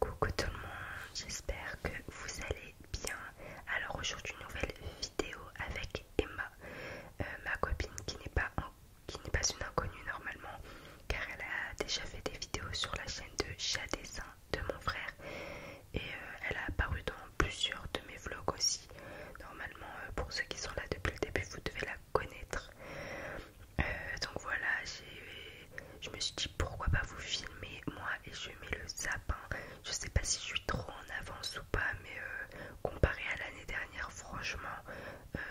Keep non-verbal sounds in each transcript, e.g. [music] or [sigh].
Coucou tout le monde, j'espère que vous allez bien. Alors aujourd'hui une nouvelle vidéo avec Emma, euh, ma copine qui n'est pas, pas une inconnue normalement, car elle a déjà fait des vidéos sur la chaîne de Chat Dessin de mon frère et euh, elle a apparu dans plusieurs de mes vlogs aussi. Normalement, euh, pour ceux qui sont là depuis le début, vous devez la connaître. Euh, donc voilà, je me suis dit pourquoi pas vous filmer moi et je mets le sapin. Hein. Je sais pas si je suis trop en avance ou pas, mais euh, comparé à l'année dernière, franchement, euh,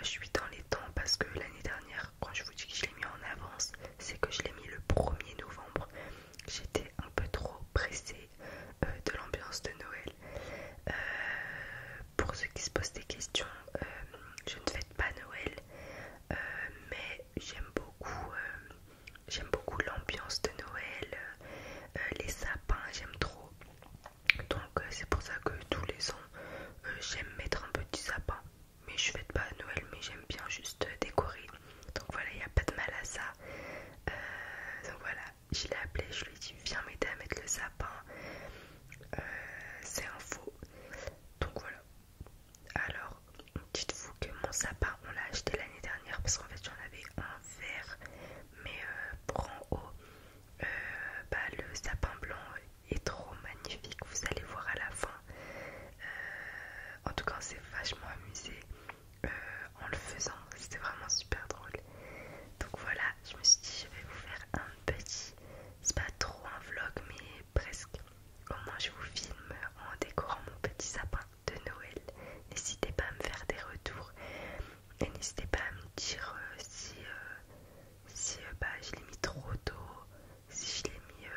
je suis dans les temps parce que l'année dernière, quand je vous dis que je l'ai mis en avance, c'est que je l'ai mis le 1er novembre. J'étais un peu trop pressée de l'ambiance de Noël. pour ceux qui se posent des questions, je ne fête pas Noël, mais j'aime beaucoup, euh, j'aime beaucoup l'ambiance de Noël, euh, euh, les sapins, j'aime trop. Donc c'est pour ça que tous les ans, j'aime mettre un petit sapin. Mais je fais pas à Noël, mais j'aime bien juste décorer. Donc voilà, il n'y a pas de mal à ça. donc voilà, je l'ai appelé, je lui ai dit viens m'aider à mettre le sapin. c'est un faux. Donc voilà. Alors, dites-vous que mon sapin, on l'a acheté l'année dernière parce qu'en fait, j'en avais un vert, mais euh, pour en haut, euh, bah, le sapin blanc est trop magnifique. Vous allez voir à la fin. Euh, en tout cas, c'est vachement amusé en le faisant. C'était vraiment super drôle. Donc voilà, je me suis dit, je vais vous faire un petit, c'est pas trop un vlog, mais presque. Comment je vous filme en décorant mon petit sapin de Noël. N'hésitez pas à me faire des retours et n'hésitez pas à me dire euh, si, euh, euh, bah, je l'ai mis trop tôt, si je l'ai mis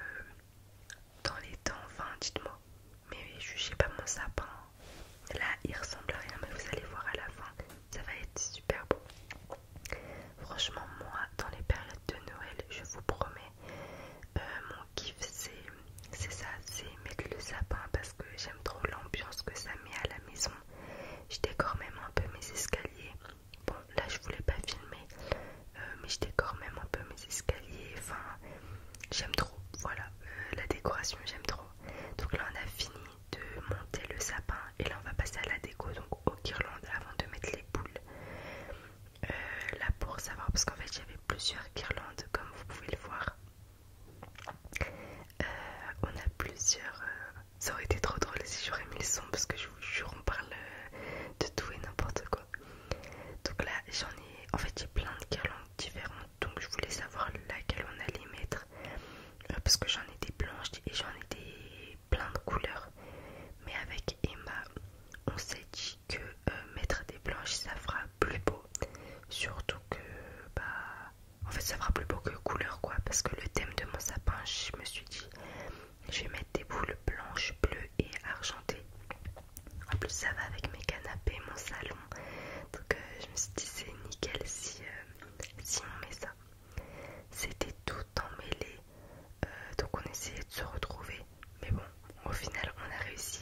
dans les temps, enfin dites-moi. Mais jugez pas mon sapin. Là, il ressemble à rien, mais vous allez voir à la fin, ça va être super beau. Franchement, moi, dans les périodes de Noël, je vous promets, euh, mon kiff c'est ça, c'est mettre le sapin parce que j'aime trop l'ambiance que ça met à la maison. Je décore même un peu mes escaliers. Bon là je voulais pas filmer, euh, mais je décore même un peu mes escaliers. Enfin, j'aime trop. Voilà, euh, la décoration j'aime trop. Donc là on a fini de monter le sapin et là on va passer à la déco. Donc au guirlande avant de mettre les boules. Euh, là pour savoir parce qu'en fait j'avais plusieurs guirlandes comme vous pouvez le voir euh, on a plusieurs euh, ça aurait été trop drôle si j'aurais mis le son parce que je vous jure on parle de tout et n'importe quoi donc là j'en ai en fait j'ai plein de guirlandes différentes donc je voulais savoir laquelle on allait mettre parce que j'en ai des blanches et j'en ai des plein de couleurs. Mais avec Emma, on s'est dit que euh, mettre des blanches, ça fera plus beau. Surtout que, bah, en fait, ça fera plus beau que couleur, quoi. Parce que le thème de mon sapin, je me suis dit, je vais mettre des boules blanches, bleues et argentées. En plus, ça va avec mes canapés, mon salon. Donc, euh, je me suis dit, c'est nickel si, euh, si on met ça. C'était tout en mêlée euh, donc on essayait de se retrouver mais bon au final on a réussi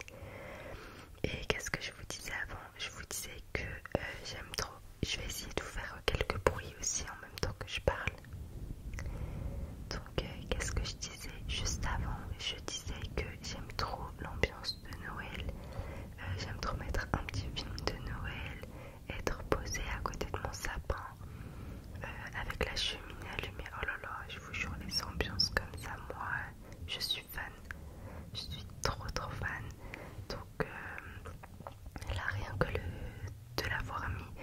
et qu'est-ce que je vous disais avant je vous disais que euh, j'aime trop je vais essayer de vous faire quelques bruits aussi en même temps que je parle donc euh, qu'est-ce que je disais juste avant je disais que j'aime trop l'ambiance de Noël j'aime trop mettre un petit film de Noël être posé à côté de mon sapin euh, avec la cheminée allumée. Oh là là, je vous jure, les ambiances comme ça, moi, je suis fan. Je suis trop trop fan. Donc euh, là, rien que le, de l'avoir mis,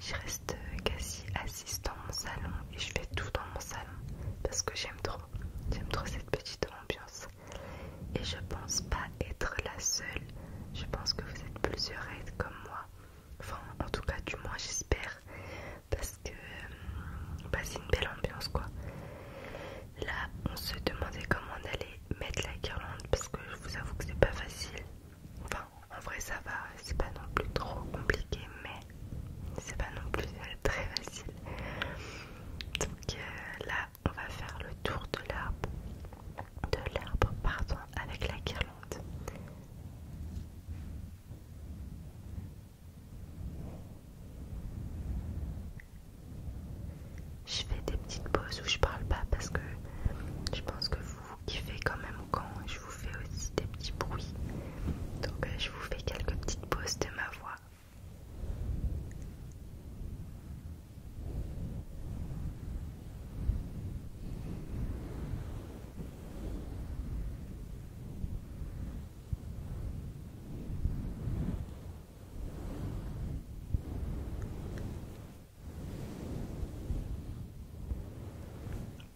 je reste quasi assise dans mon salon et je fais tout dans mon salon parce que j'aime trop. J'aime trop cette petite ambiance. Et je pense pas être la seule. Je pense que vous êtes plusieurs comme moi. Enfin, en tout cas, du moins, j'espère. Parce que euh, bah, c'est une belle ambiance, quoi. Là, on se demandait comment on allait mettre la guirlande. Parce que je vous avoue que c'est pas facile. Enfin, en vrai, ça va. C'est pas non plus trop compliqué, mais c'est pas non plus [laughs] très facile. Donc euh, là, on va faire le tour de l'arbre. De l'arbre, pardon, avec la guirlande. Je fais des petites pauses où je parle pas parce que je pense que vous, vous kiffez quand même quand je vous fais aussi des petits bruits. Donc euh, je vous fais quelques petites pauses de ma voix.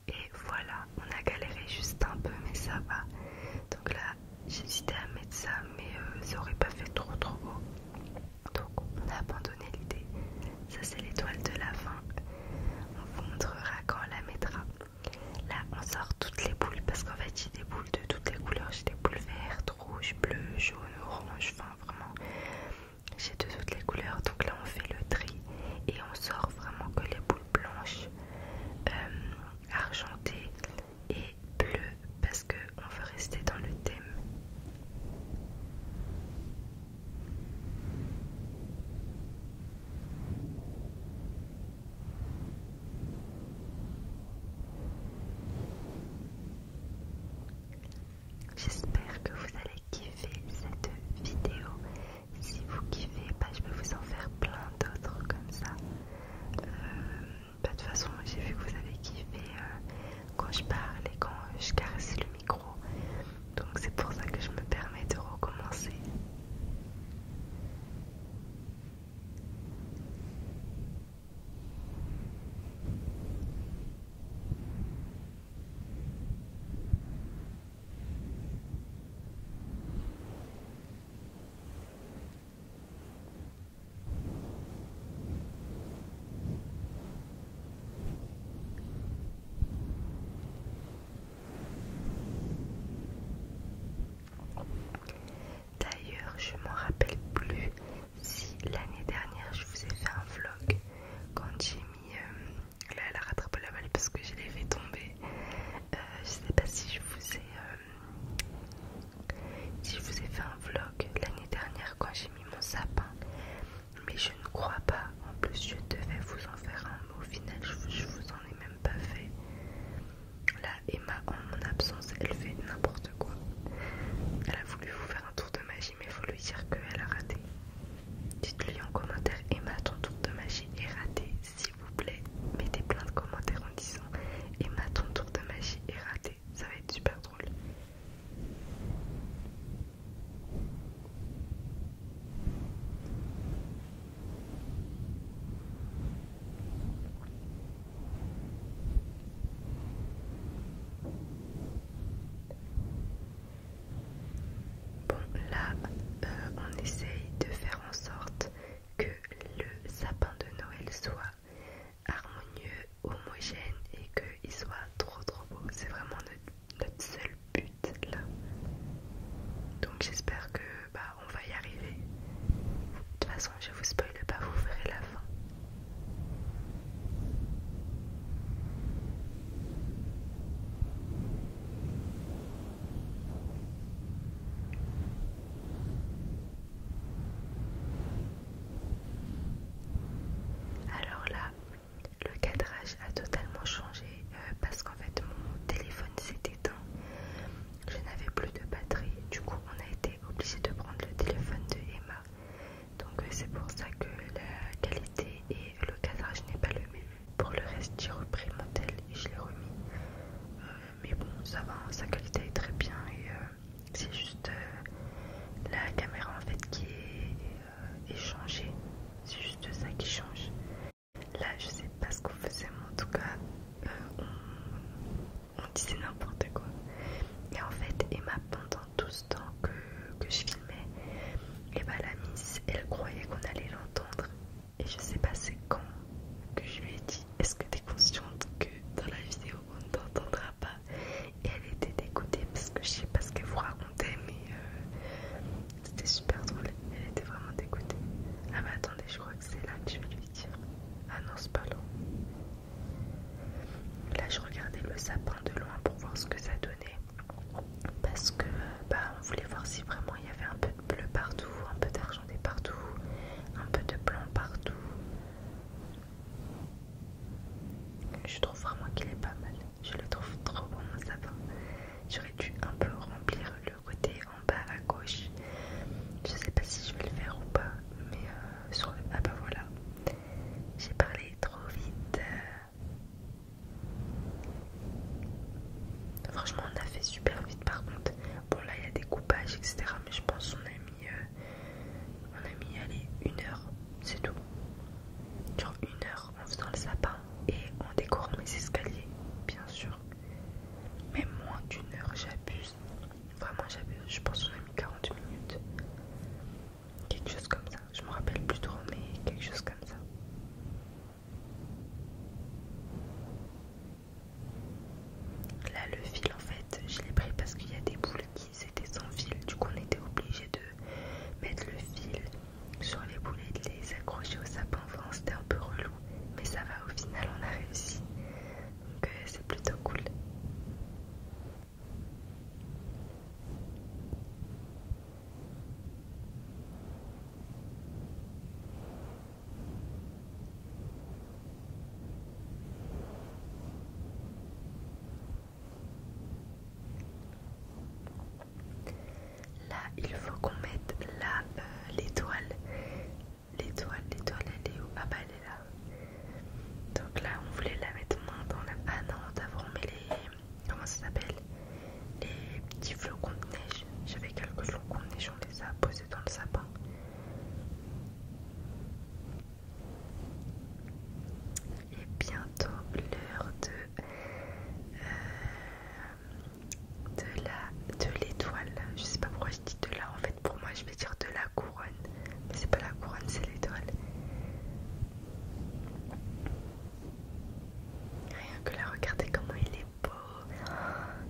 Et voilà, on a galéré juste un peu, mais ça va. Donc là, j'hésitais à mettre ça, mais euh, ça aurait pas fait trop trop haut. Donc on a ça c'est l'étoile de la fin. On vous montrera quand on la mettra. Là on sort toutes les boules parce qu'en fait j'ai des boules de toutes les couleurs. J'ai des boules vertes, rouges, bleues, jaunes, oranges enfin vraiment. J'ai de toutes les couleurs. Donc là on fait le tri et on sort vraiment que les boules blanches, euh, argentées et bleues parce qu'on veut rester dans le thème. J'espère que vous allez kiffer cette vidéo. Si vous kiffez, bah, je peux vous en faire plein d'autres comme ça. Euh, bah, de toute façon, j'ai vu que vous avez kiffé euh, quand je parle et quand je caresse le micro. Donc c'est pour ça que je me permets de recommencer. D'ailleurs, je m'en rappelle plus si l'année dernière je vous ai fait un vlog quand j'ai mis euh, la rattrape la balle parce que je l'ai fait tomber. Je euh, je sais pas si je vous ai euh, si je vous ai fait un vlog l'année dernière quand j'ai mis mon sapin mais je ne crois pas. En plus, je devais vous en faire un, mot. au final, je, ne vous en ai même pas fait. Là, Emma, en mon absence, elle fait n'importe quoi. Elle a voulu vous faire un tour de magie, mais faut lui dire qu'elle a raté. Dites-lui en commentaire, Emma, ton tour de magie est raté, s'il vous plaît. Mettez plein de commentaires en disant, Emma, ton tour de magie est raté. Ça va être super drôle. Bon, là, euh, on essaye de faire en sorte que le sapin de Noël soit harmonieux, homogène et qu'il soit trop trop beau. C'est vraiment notre notre seul but là. Donc j'espère que bah on va y arriver. De toute façon je vous spoil pas, vous verrez la fin. Alors là, le cadrage a totalement changé euh, parce qu'en fait mon téléphone s'est éteint je n'avais plus de batterie du coup on a été obligé de prendre le téléphone de Emma donc euh, c'est pour ça que la qualité et le cadrage n'est pas le même pour le reste j'ai repris mon tel et je l'ai remis euh, mais bon ça va hein, sa qualité est très bien et c'est juste la caméra en fait qui est et changer, C'est juste ça qui change. Là, je sais pas ce qu'on faisait, mais en tout cas, euh, on, disait n'importe quoi. Et en fait, Emma, pendant tout ce temps que, je filmais, et bah la miss, elle croyait qu'on allait l'entendre. Et je sais pas c'est quand que je lui ai dit, est-ce que t'es consciente que dans la vidéo on t'entendra et elle était dégoûtée parce que je sais pas ce qu'elle vous racontait, mais euh, c'était super drôle. Elle était vraiment dégoûtée. Ah, mais attendez, je crois que c'est là que je vais lui dire. Ah non, c'est pas là. Là, je regardais le sapin de loin pour voir ce que ça donnait. Parce que euh, bah, on voulait voir si vraiment il y avait un peu de bleu partout, un peu d'argenté partout, un peu de blanc partout. Je trouve vraiment qu'il est pas mal je le trouve trop bon ça va. J'aurais dû un peu remplir le côté en bas à gauche. Je sais pas si je vais le faire ou pas, mais euh, sur Ah bah voilà. J'ai parlé trop vite. Franchement on a fait super vite par contre. Bon là il y a des coupages etc. Mais je pense qu'on a mis euh, on a mis allez une heure, c'est tout. Genre une heure en dans le sapin et en décorant les escaliers, bien sûr. Mais moins d'une heure, j'abuse. Vraiment j'abuse. Je pense qu'on a mis 40 minutes. Quelque chose comme ça. Je me rappelle plus mais quelque chose comme ça. Là le fil en fait je l'ai pris parce qu'il y a des boules qui c'était sans fil, du coup on était obligé de mettre le fil sur les boulets, de les accrocher au sapin, enfin c'était un peu relou, mais ça va, au final on a réussi, donc euh, c'est plutôt cool. Là, il faut qu'on mette là euh, l'étoile. L'étoile, l'étoile, elle est où Ah bah elle est là. Donc là, on voulait la mettre moins dans la... Ah non, d'abord on met les... Comment ça s'appelle Les petits flocons de neige. J'avais quelques flocons de neige, on les a posés dans le sapin. Et bientôt l'heure euh, de, la de l'étoile. Je sais pas pourquoi je dis de la en fait pour moi je vais dire de la couronne. Mais c'est pas la couronne, c'est l'étoile. Rien que la regarder comment il est beau.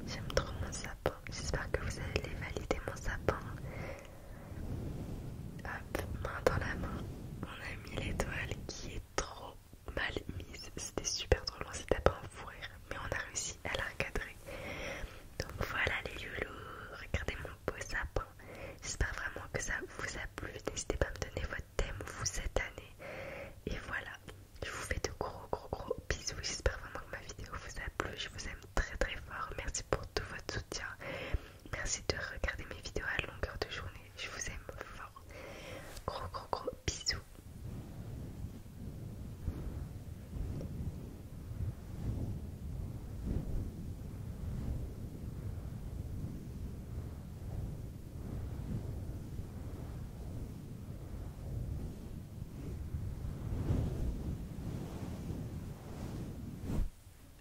J'aime trop mon sapin. J'espère que vous allez valider mon sapin. Hop, main dans la main, on a mis l'étoile qui est trop mal mise. C'était super drôle, on s'est à un mais on a réussi à la recadrer. Donc voilà les loulous, regardez mon beau sapin. J'espère vraiment que ça vous a plu. N'hésitez pas à me donner votre thème vous cette année. Et voilà, je vous fais de gros gros gros bisous. J'espère vraiment que ma vidéo vous a plu. Je vous aime très très fort. Merci pour tout votre soutien. Merci de regarder mes vidéos à longueur de journée. Je vous aime fort. Gros gros gros bisous.